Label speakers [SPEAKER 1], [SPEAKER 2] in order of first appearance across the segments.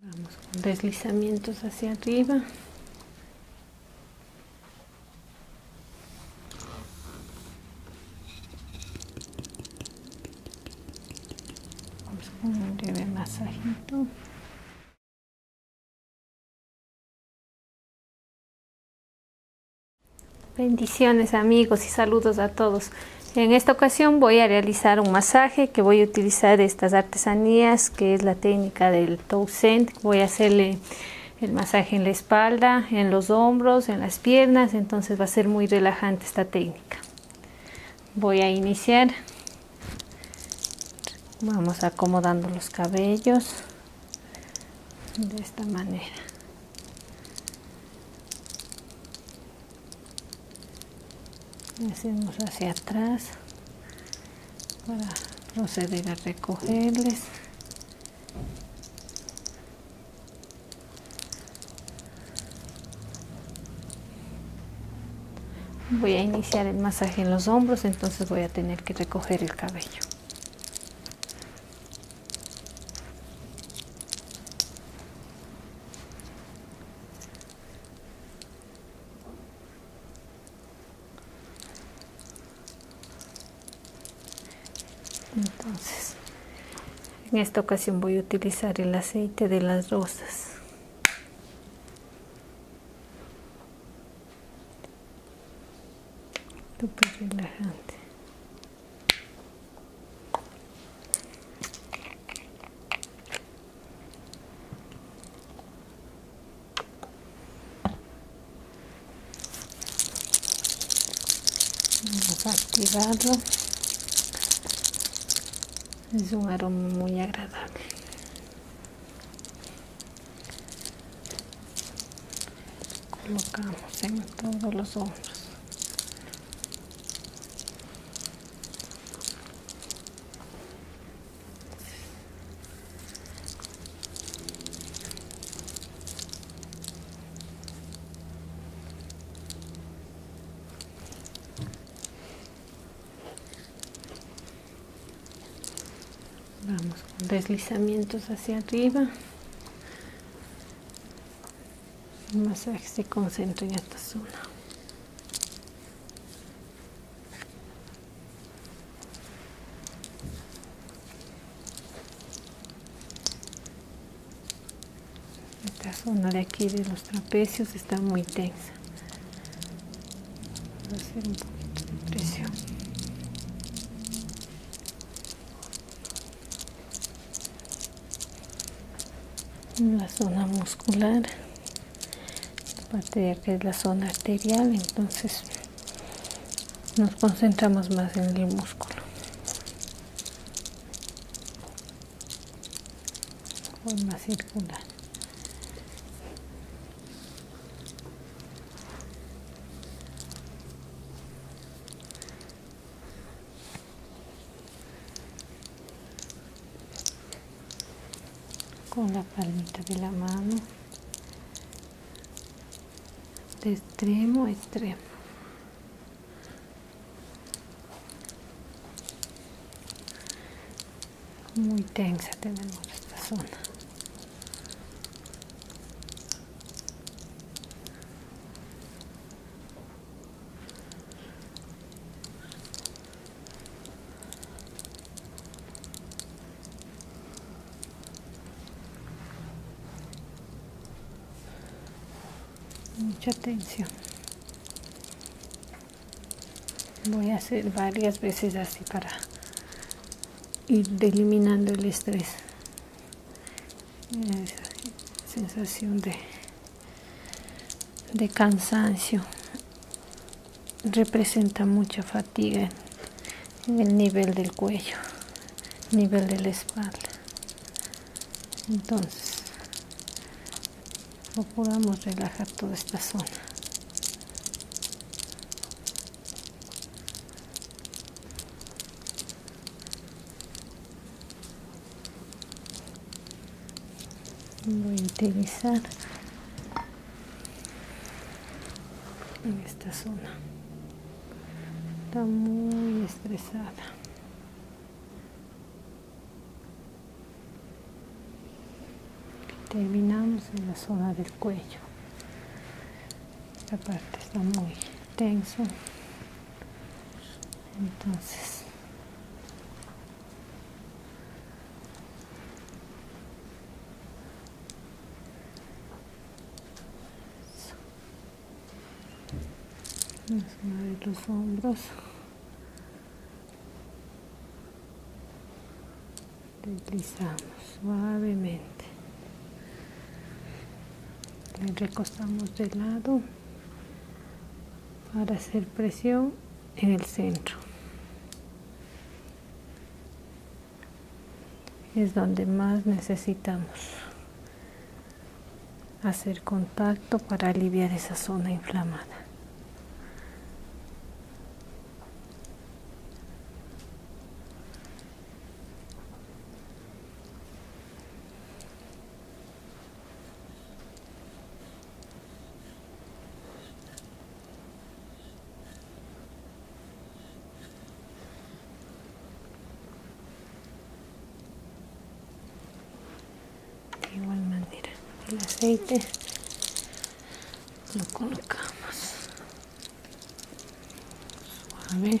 [SPEAKER 1] Vamos con deslizamientos hacia arriba. Vamos con un breve masajito. Bendiciones amigos y saludos a todos. En esta ocasión voy a realizar un masaje que voy a utilizar estas artesanías, que es la técnica del Toussaint Voy a hacerle el masaje en la espalda, en los hombros, en las piernas, entonces va a ser muy relajante esta técnica. Voy a iniciar. Vamos acomodando los cabellos de esta manera hacemos hacia atrás para proceder a recogerles voy a iniciar el masaje en los hombros entonces voy a tener que recoger el cabello entonces en esta ocasión voy a utilizar el aceite de las rosas vamos es un aroma muy agradable colocamos en todos los hombros Vamos con deslizamientos hacia arriba. El masaje se concentra en esta zona. Esta zona de aquí de los trapecios está muy tensa. a hacer un de presión. la zona muscular parte de que es la zona arterial entonces nos concentramos más en el músculo forma circular con la palmita de la mano de extremo a extremo muy tensa tenemos esta zona mucha atención voy a hacer varias veces así para ir eliminando el estrés esa sensación de de cansancio representa mucha fatiga en el nivel del cuello nivel de la espalda entonces procuramos relajar toda esta zona voy a utilizar en esta zona está muy estresada terminamos en la zona del cuello esta parte está muy tenso entonces Vamos a los hombros. Deslizamos suavemente. Le recostamos de lado para hacer presión en el centro es donde más necesitamos hacer contacto para aliviar esa zona inflamada de igual manera el aceite lo colocamos suave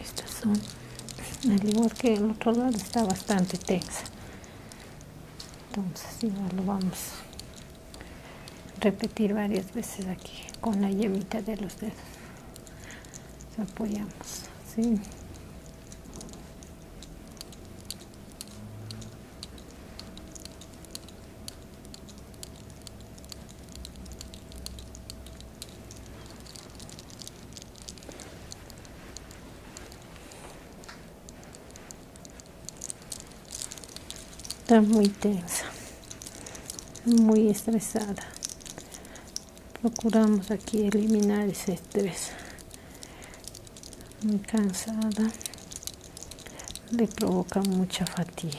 [SPEAKER 1] Estas son, al igual que el otro lado, está bastante tensa. Entonces, ya lo vamos repetir varias veces aquí con la yemita de los dedos apoyamos ¿sí? Está muy tensa, muy estresada. Procuramos aquí eliminar ese estrés. Muy cansada. Le provoca mucha fatiga.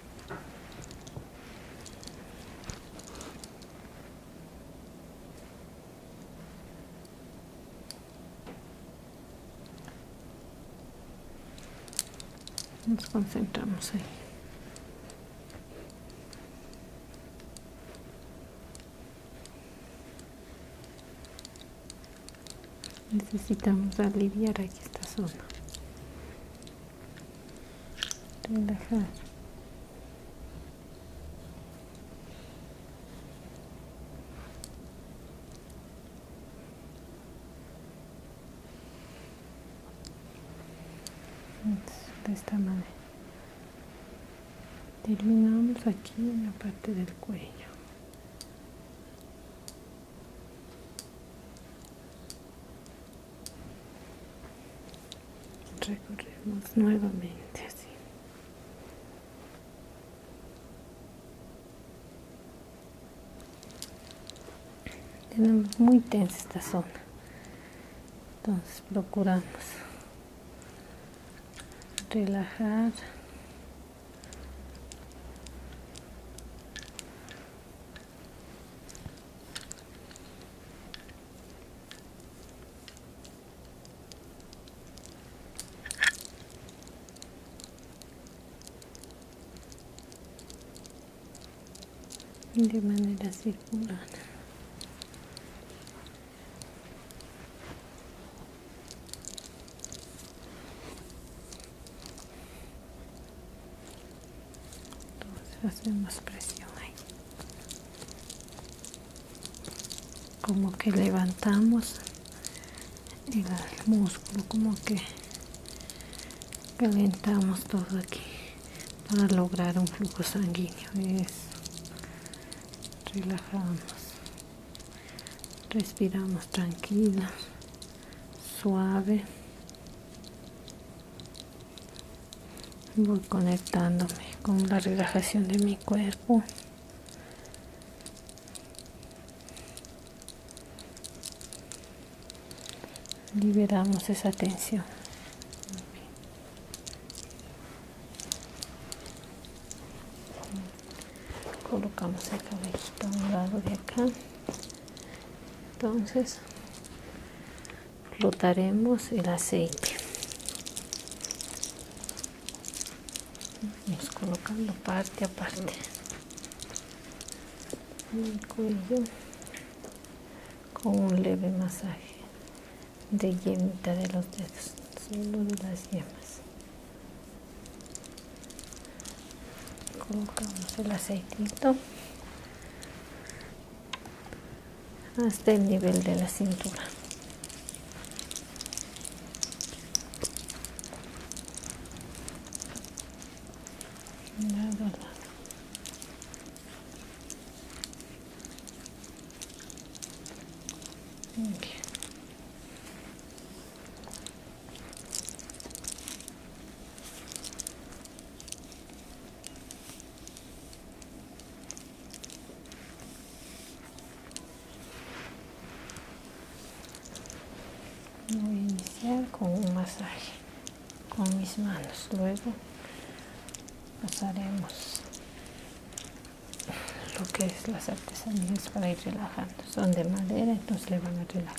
[SPEAKER 1] Nos concentramos ahí. Necesitamos aliviar aquí esta zona de esta manera terminamos aquí en la parte del cuello recorremos nuevamente así tenemos muy tensa esta zona entonces procuramos relajar de manera circular entonces hacemos presión ahí como que levantamos el músculo como que calentamos todo aquí para lograr un flujo sanguíneo eso relajamos respiramos tranquila suave voy conectándome con la relajación de mi cuerpo liberamos esa tensión colocamos el cabello a un lado de acá entonces flotaremos el aceite vamos colocando parte a parte el con un leve masaje de yemita de los dedos solo de las yemas colocamos el aceitito hasta el nivel de la cintura Voy a iniciar con un masaje con mis manos, luego pasaremos lo que es las artesanías para ir relajando. Son de madera, entonces le van a relajar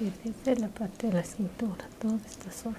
[SPEAKER 1] Vamos a desde la parte de la cintura, toda esta zona.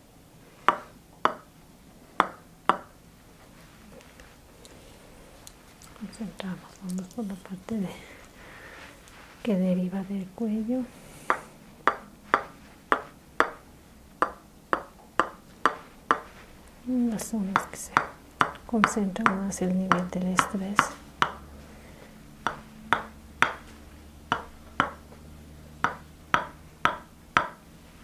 [SPEAKER 1] Concentramos, vamos por la parte de, que deriva del cuello. Las zonas que se concentran más el nivel del estrés.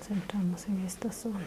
[SPEAKER 1] concentramos en esta zona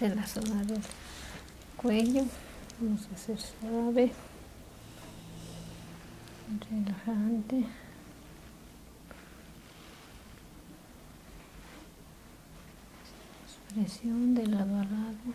[SPEAKER 1] en la zona del cuello vamos a hacer suave relajante presión de lado a lado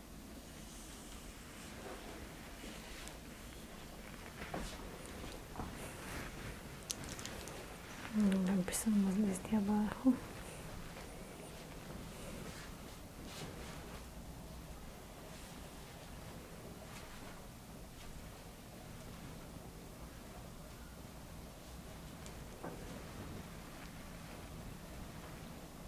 [SPEAKER 1] Mm, empezamos desde abajo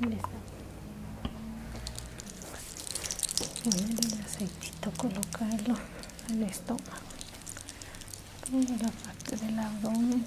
[SPEAKER 1] Listo. Poner el aceitito, colocarlo el estómago. en la parte del abdomen.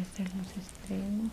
[SPEAKER 1] hacer los extremos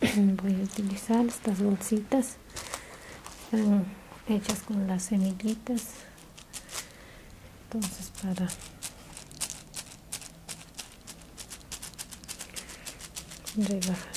[SPEAKER 1] Eh, voy a utilizar estas bolsitas hechas con las semillitas entonces para rebajar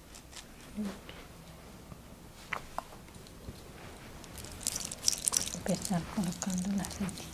[SPEAKER 1] empezar colocando el aceitito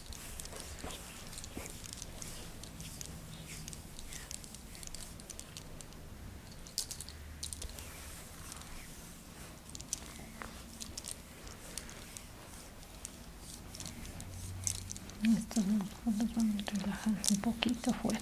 [SPEAKER 1] Estos los vamos a relajar un poquito fuerte.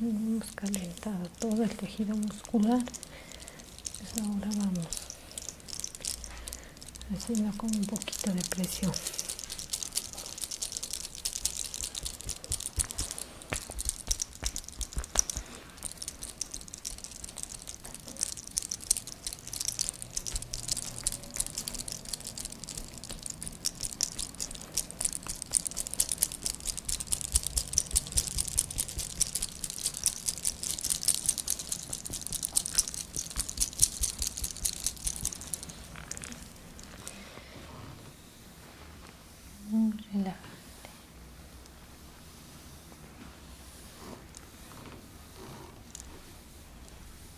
[SPEAKER 1] hemos calentado todo el tejido muscular pues ahora vamos haciendo con un poquito de presión Relajate.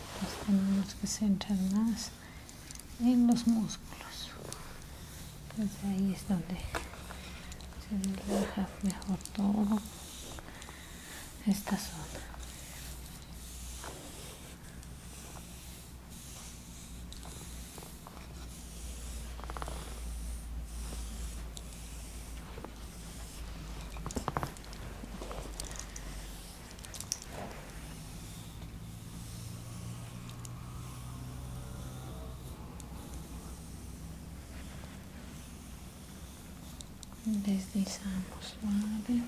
[SPEAKER 1] De tenemos que centrar más en los músculos. Pues ahí es donde se relaja mejor todo esta zona deslizamos suave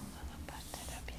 [SPEAKER 1] una parte rápida.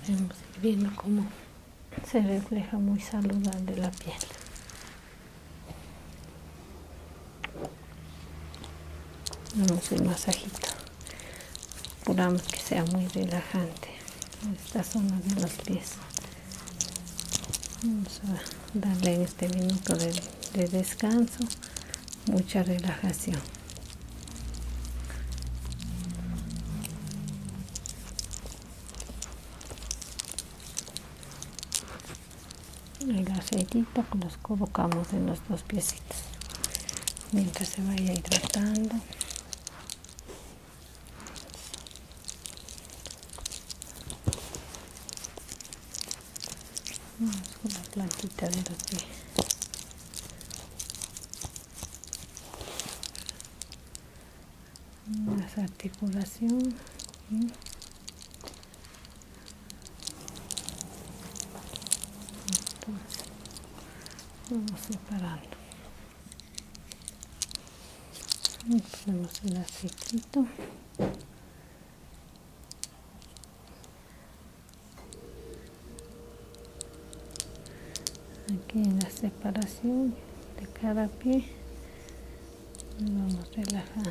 [SPEAKER 1] Podemos ir viendo cómo se refleja muy saludable la piel. damos el masajito. esperamos que sea muy relajante en esta zona de los pies. Vamos a darle este minuto de descanso mucha relajación el aceitito los colocamos en los dos piecitos mientras se vaya hidratando vamos con la plantita de los pies las articulaciones vamos separando y ponemos el aceitito aquí en la separación de cada pie vamos relajando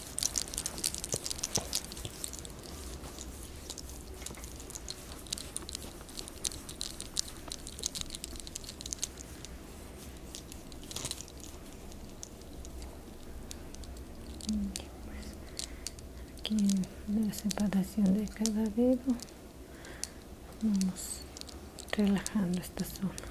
[SPEAKER 1] Aquí la separación de cada dedo vamos relajando esta zona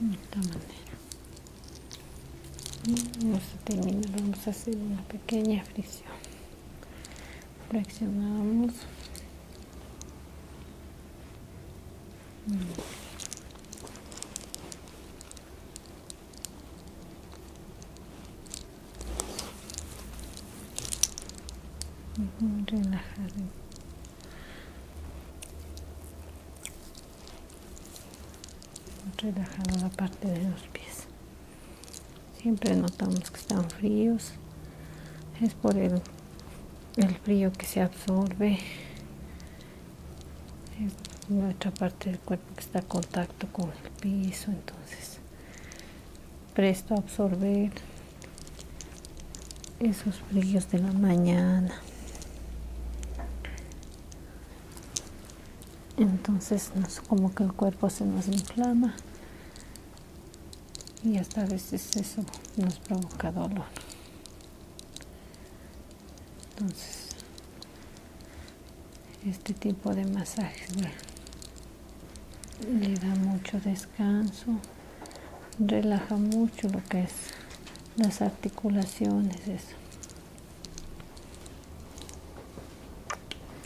[SPEAKER 1] de esta manera vamos mm, a terminar vamos a hacer una pequeña fricción flexionamos relajar la parte de los pies siempre notamos que están fríos es por el, frío que se absorbe es nuestra parte del cuerpo que está en contacto con el piso entonces presto a absorber esos fríos de la mañana entonces como que el cuerpo se nos inflama y hasta a veces eso nos provoca dolor entonces este tipo de masajes le, le da mucho descanso relaja mucho lo que es las articulaciones eso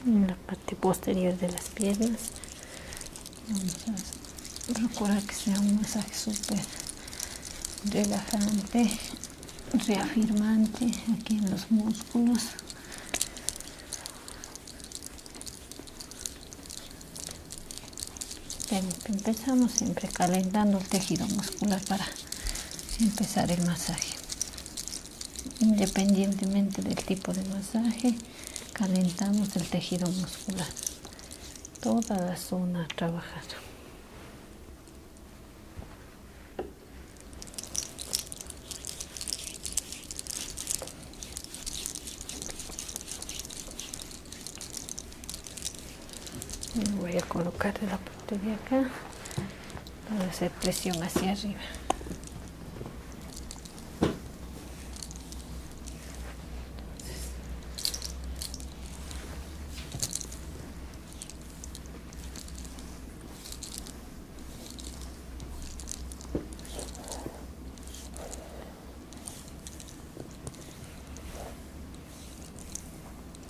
[SPEAKER 1] en la parte posterior de las piernas vamos a procurar que sea un masaje súper relajante reafirmante aquí en los músculos empezamos siempre calentando el tejido muscular para empezar el masaje independientemente del tipo de masaje calentamos el tejido muscular toda la zona trabajada voy a colocar la parte de acá Vamos a hacer presión hacia arriba.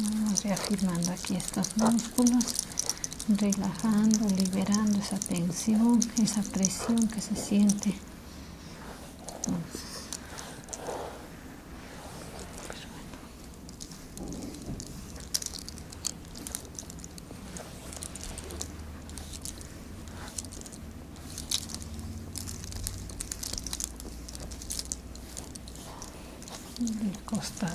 [SPEAKER 1] Vamos reafirmando aquí estos músculos, relajando, liberando esa tensión, esa presión que se siente. Entonces, del costado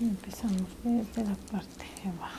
[SPEAKER 1] Y empezamos desde la parte de abajo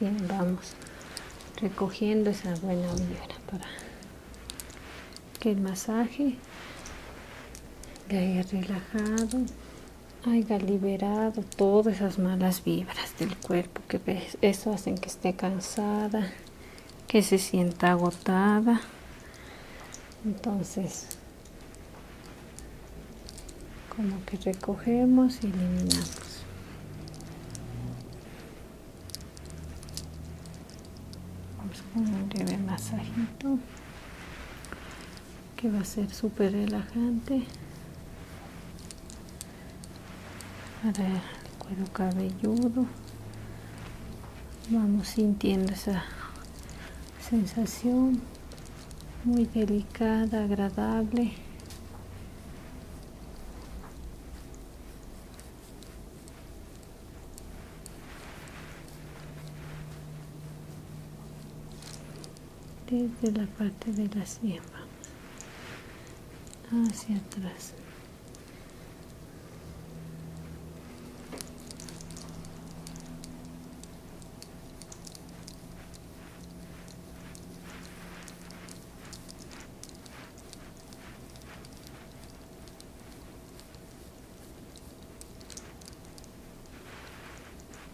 [SPEAKER 1] bien, vamos recogiendo esa buena vibra para que el masaje le haya relajado haya liberado todas esas malas vibras del cuerpo que Eso hacen que esté cansada, que se sienta agotada. Entonces, como que recogemos y eliminamos. Vamos con un breve masajito que va a ser súper relajante para el cuero cabelludo vamos sintiendo esa sensación muy delicada agradable desde la parte de la siembra hacia atrás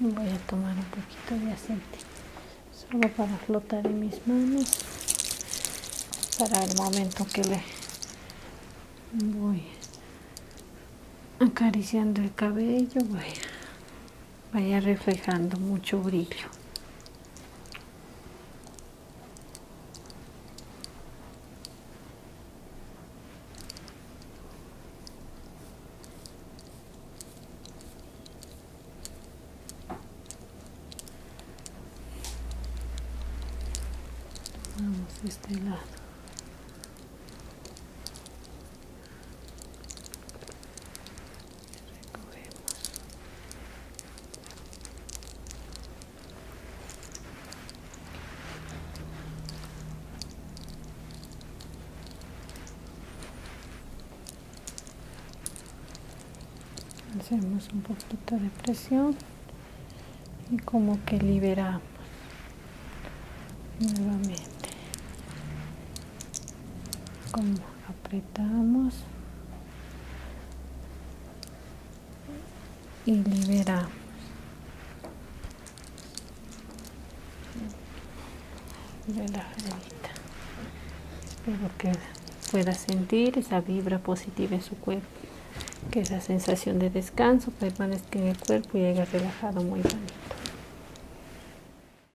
[SPEAKER 1] voy a tomar un poquito de aceite solo para flotar en mis manos para el momento que le voy acariciando el cabello voy vaya reflejando mucho brillo vamos este lado recogemos hacemos un poquito de presión y como que liberamos nuevamente como apretamos y liberamos relajadita espero que pueda sentir esa vibra positiva en su cuerpo que esa sensación de descanso permanezca en el cuerpo y haya relajado muy bien